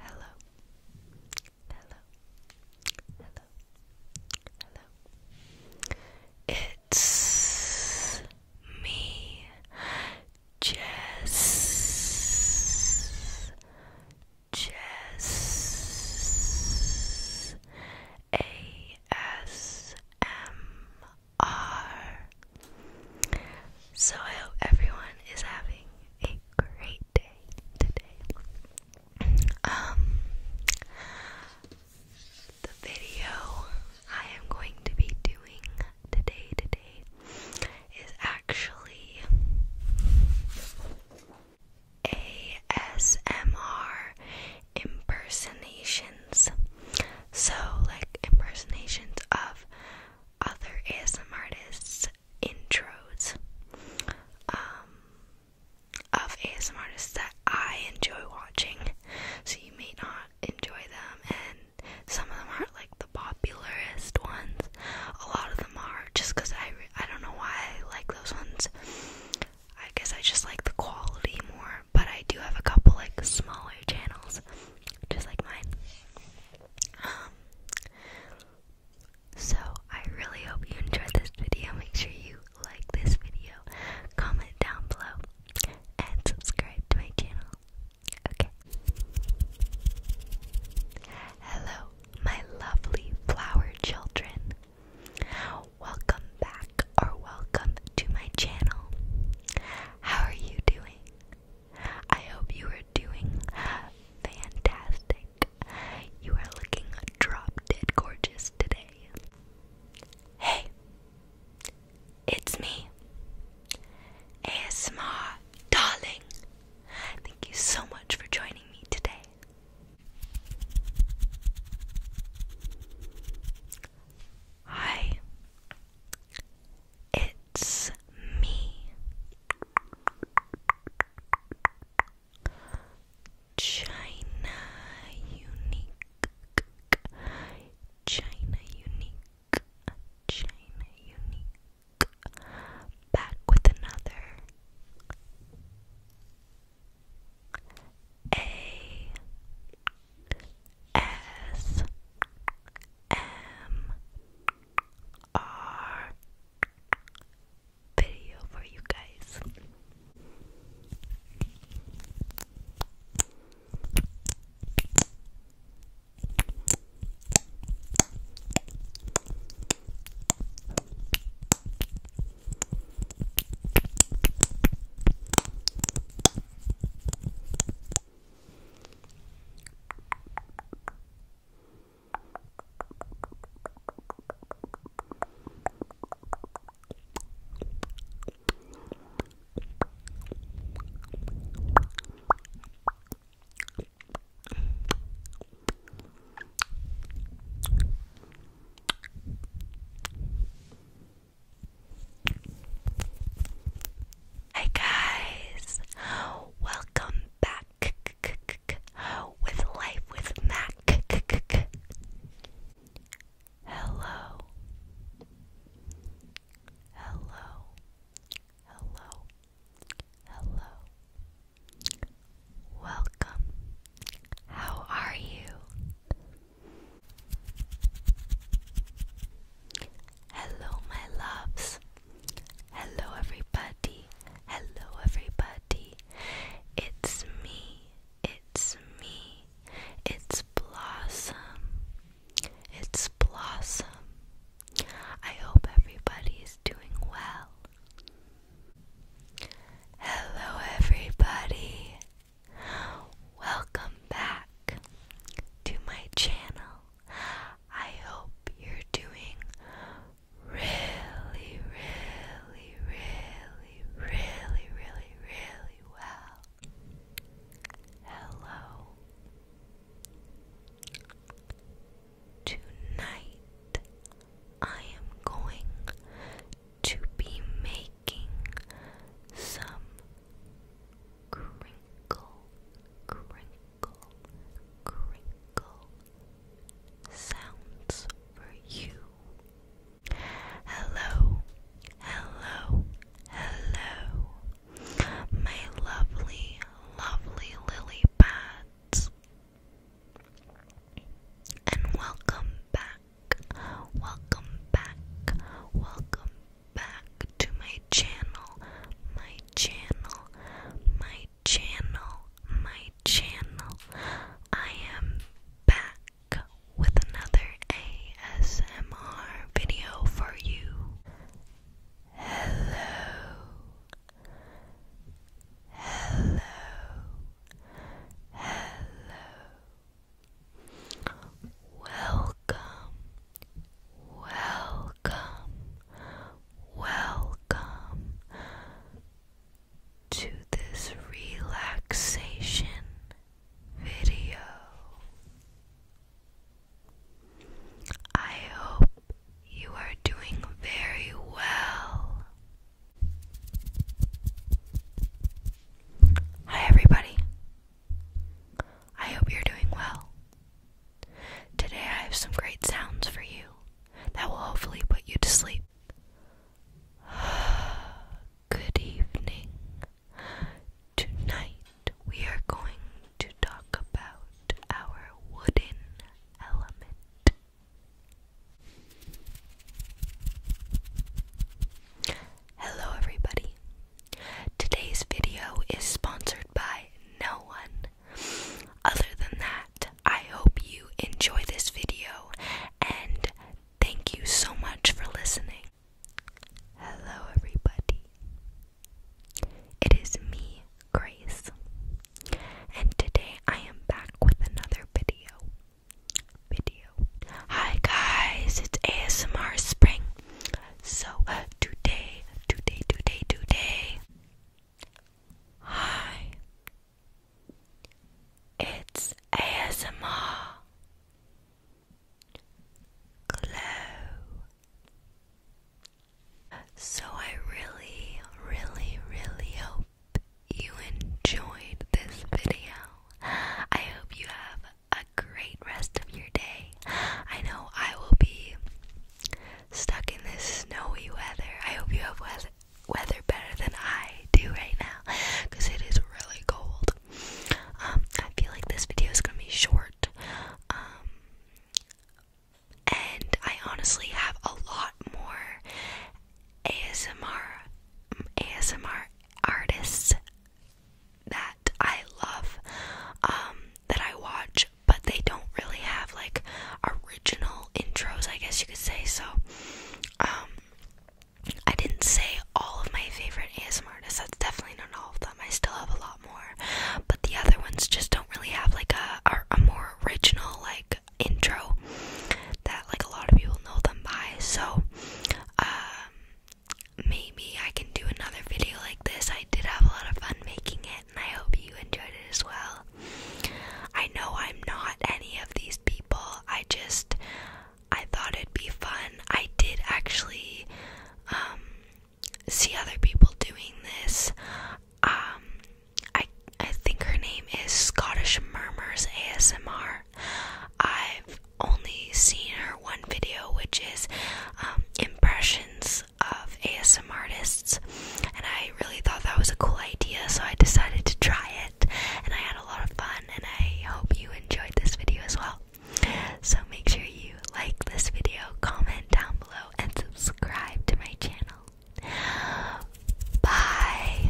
Hello. Hello. Hello. Hello. It's me, Jess. Jess. So I hope everyone is having great day today. Um, the video I am going to be doing today today is actually ASMR impersonations. So like impersonations of other ASM artists intros um, of ASMR artists that I enjoy watching, so you may not enjoy them, and some of them aren't like the popularist ones. A lot of them are just because I, I don't know why I like those ones. I guess I just like the quality more, but I do have a couple like smaller channels, just like mine. Um, so I really hope you enjoyed this video. Make sure you like this video, comment down below, and subscribe to my channel. Okay. Hello, my lovely flower children. Welcome back or welcome to my channel. How are you doing? I hope you are doing fantastic. You are looking drop dead gorgeous today. Hey, it's me, ASMA, darling. Thank you so much for joining me today. Hi, it's me. China unique China unique China unique back with another A S M ASMR video for you guys. Hi guys, welcome back with life with Mac. Hello. Hello. Hello. Hello. Welcome. How are you? Hello, my loves. Hello, everybody. Hello, everybody. It's me. It's me. It's Blossom. It's Blossom. I hope everybody is doing well. Hello, everybody. Welcome back to my channel. I hope you're doing really, really, really, really, really, really well. Hello. Tonight I am going to be making some crinkle, crinkle, crinkle, crinkle sounds for you. Hello, hello, hello, my lovely, lovely lily pads. And welcome back, welcome back, welcome back to my channel, my channel, my channel, my channel. I am back with another ASMR video for you. Hello. Hello. Hello. Welcome Welcome, welcome to this relaxation video. I hope you are doing very well. Hi, everybody. I hope you're doing well. Today I have some great sounds for you that will hopefully put you to sleep. Good evening. Tonight we are going to talk about our wooden element. Hello, everybody. Today's video is sponsored by no one other than that, I hope you enjoy this video and thank you so much for listening. Hello, everybody. It is me, Grace, and today I am back with another video. Video. Hi, guys, it's ASMR Spring. So today, today, today, today. Hi. It's ASMR. Glow. So I really, really, really hope you enjoyed this video. I hope you have a great rest of your day. I know I will be stuck in this snowy weather. I hope you have weather, weather better than I do right now because it is really cold. Um, I feel like this video is going to be short. Um, and I honestly have a lot more ASMR ASMR artists that I love um, that I watch but they don't really have like original intros, I guess you could say. So, um, I didn't say all of my favorite ASMR artists, that's definitely not all of them. I still have a lot more, but the other ones just don't really have like a, a, more original like intro that like a lot of people know them by. So, um, maybe I can do another video like this. I did have a lot of fun making it. I hope you enjoyed it as well. I know I'm not any of these people. I just I thought it'd be fun. I did actually um, see other people doing this. Um, I I think her name is Scottish Murmurs ASMR. I've only seen her one video, which is um, impressions of ASM artists, and I really thought that was a cool idea, so I decided to try it, and I had a lot of fun, and I hope you enjoyed this video as well. So make sure you like this video, comment down below, and subscribe to my channel. Bye!